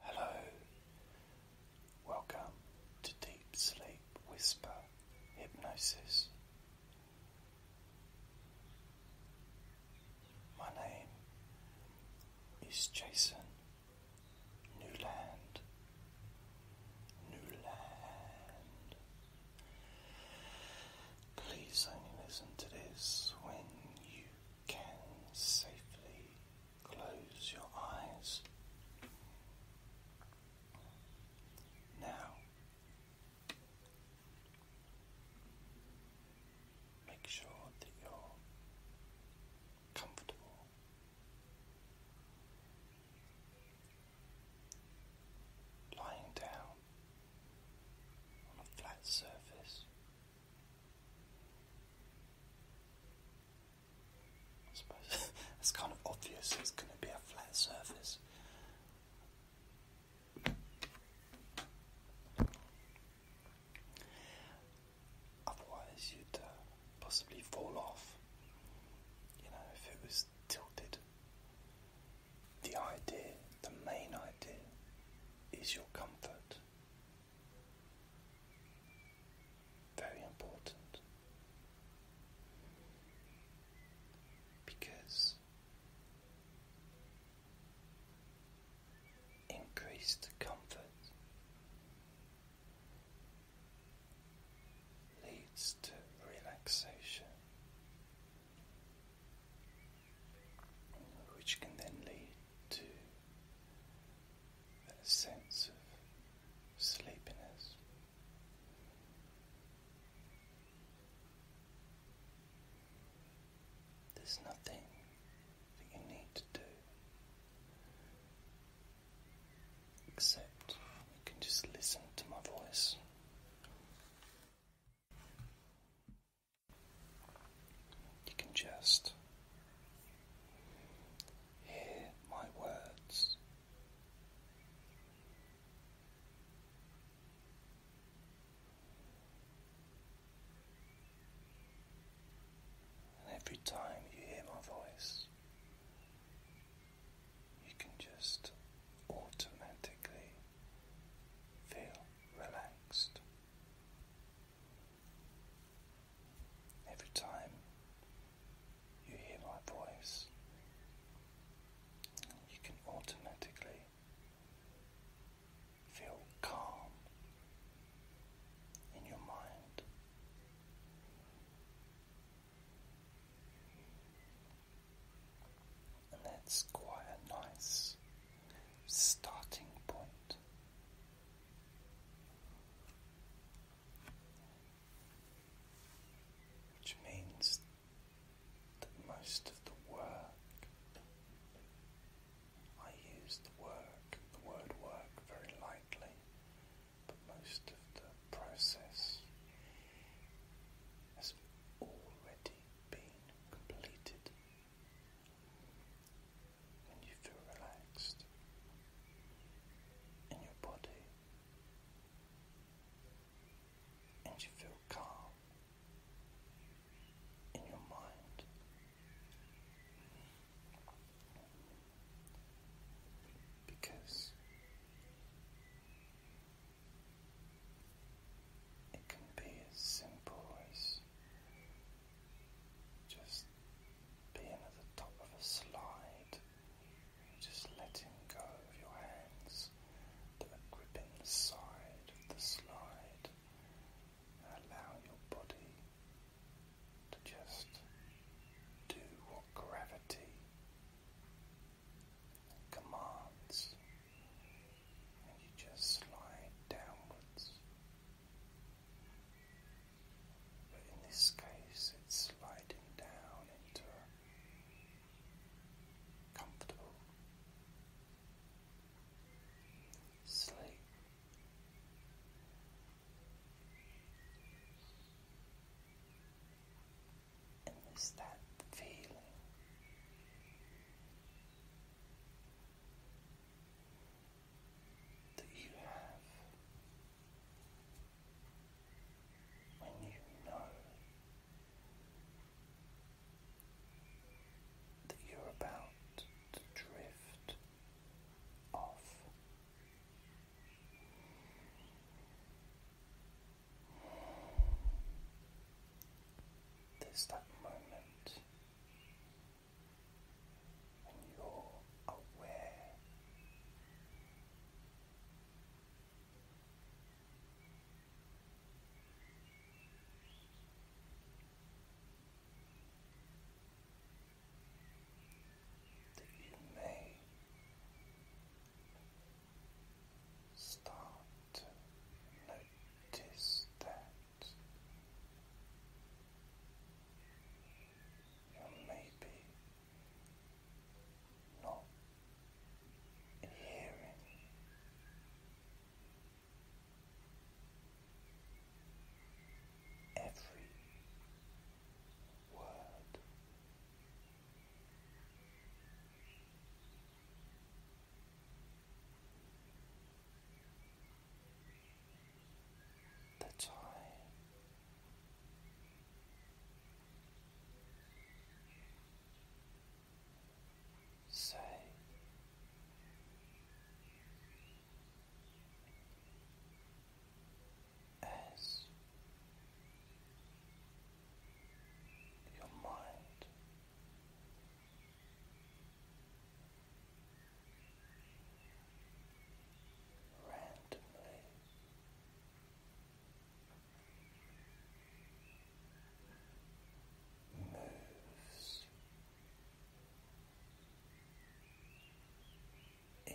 Hello, welcome to Deep Sleep Whisper Hypnosis. My name is Jason Newland. Newland. Please only listen to this when you can safely Close your eyes. Now, make sure that you're comfortable. Lying down on a flat surface, suppose it's kind of obvious it's going to be a flat surface. Otherwise, you'd uh, possibly fall off. You know, if it was tilted. The idea, the main idea, is your comfort. Very important because increased comfort leads to relaxation, which can then lead to that sense of sleepiness. There's nothing that you need to do except you can just listen to my voice. You can just hear my words. And every time you hear my voice, you can just automatically feel relaxed. Every time you hear my voice, you can automatically feel calm in your mind that's quite a nice starting point. Which means that most of the work, I use the work, the word work very lightly, but most of the process has already been completed and you feel relaxed in your body, and you feel calm in your mind. Because it can be as simple as just being at the top of a slide, just letting go of your hands that are gripping the side of the slide, and allow your body to just do what gravity commands and you just slide downwards. But in this case, it's sliding down into a comfortable sleep. And that feeling that you have when you know that you're about to drift off. There's that moment when you're aware that you may Start to notice that you're maybe not hearing every word the time say as your mind. Randomly moves in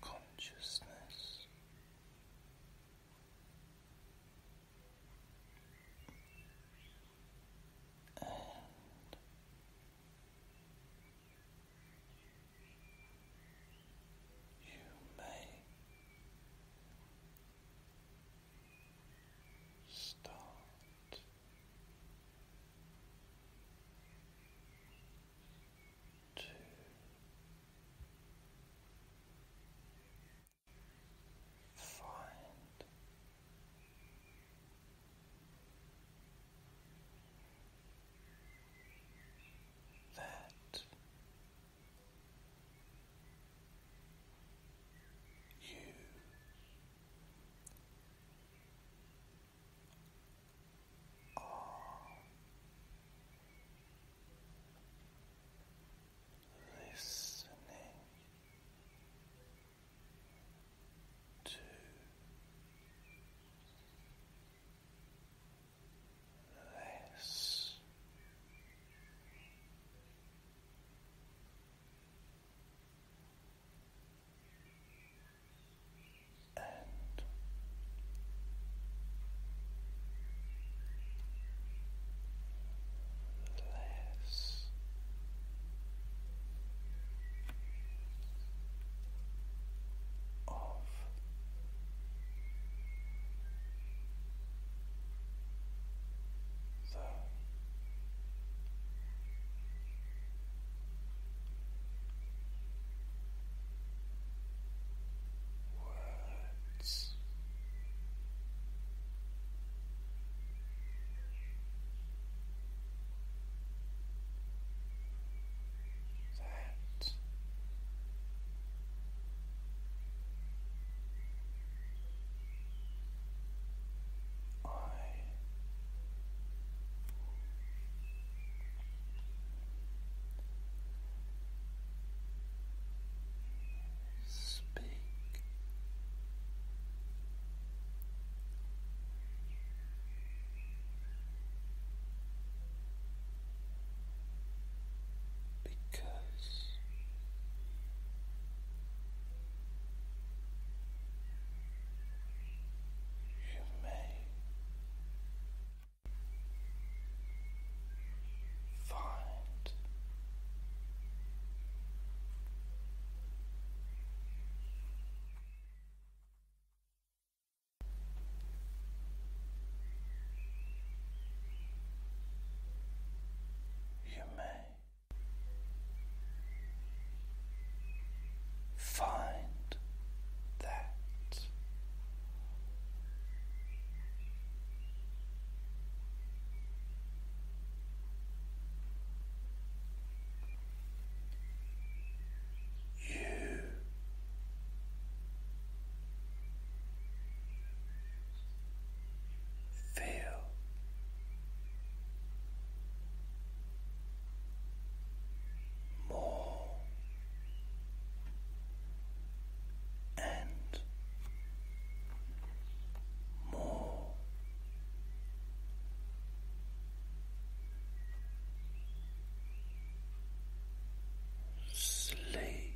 consciousness and you may start two, find that you all listening to less and less. Of the words. That I speak. Because You've Find you may. Find that you. Feel more and more. Sleepy,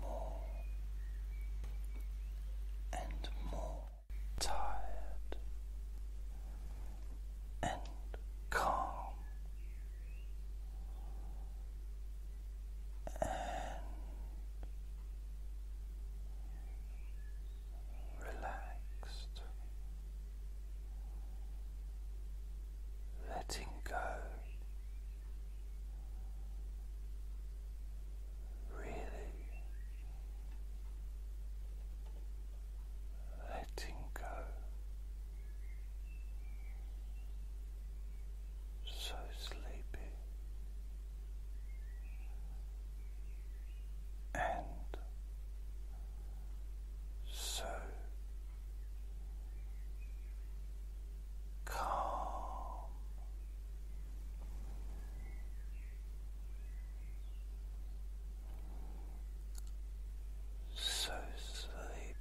more and more tired and calm and relaxed letting go, really letting go so sleepy and so calm, so sleepy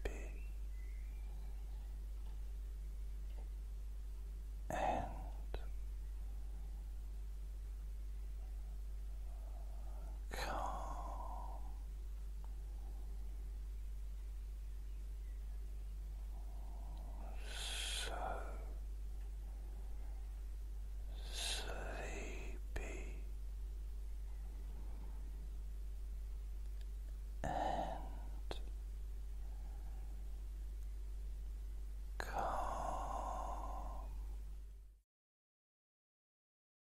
and calm. So sleepy and calm.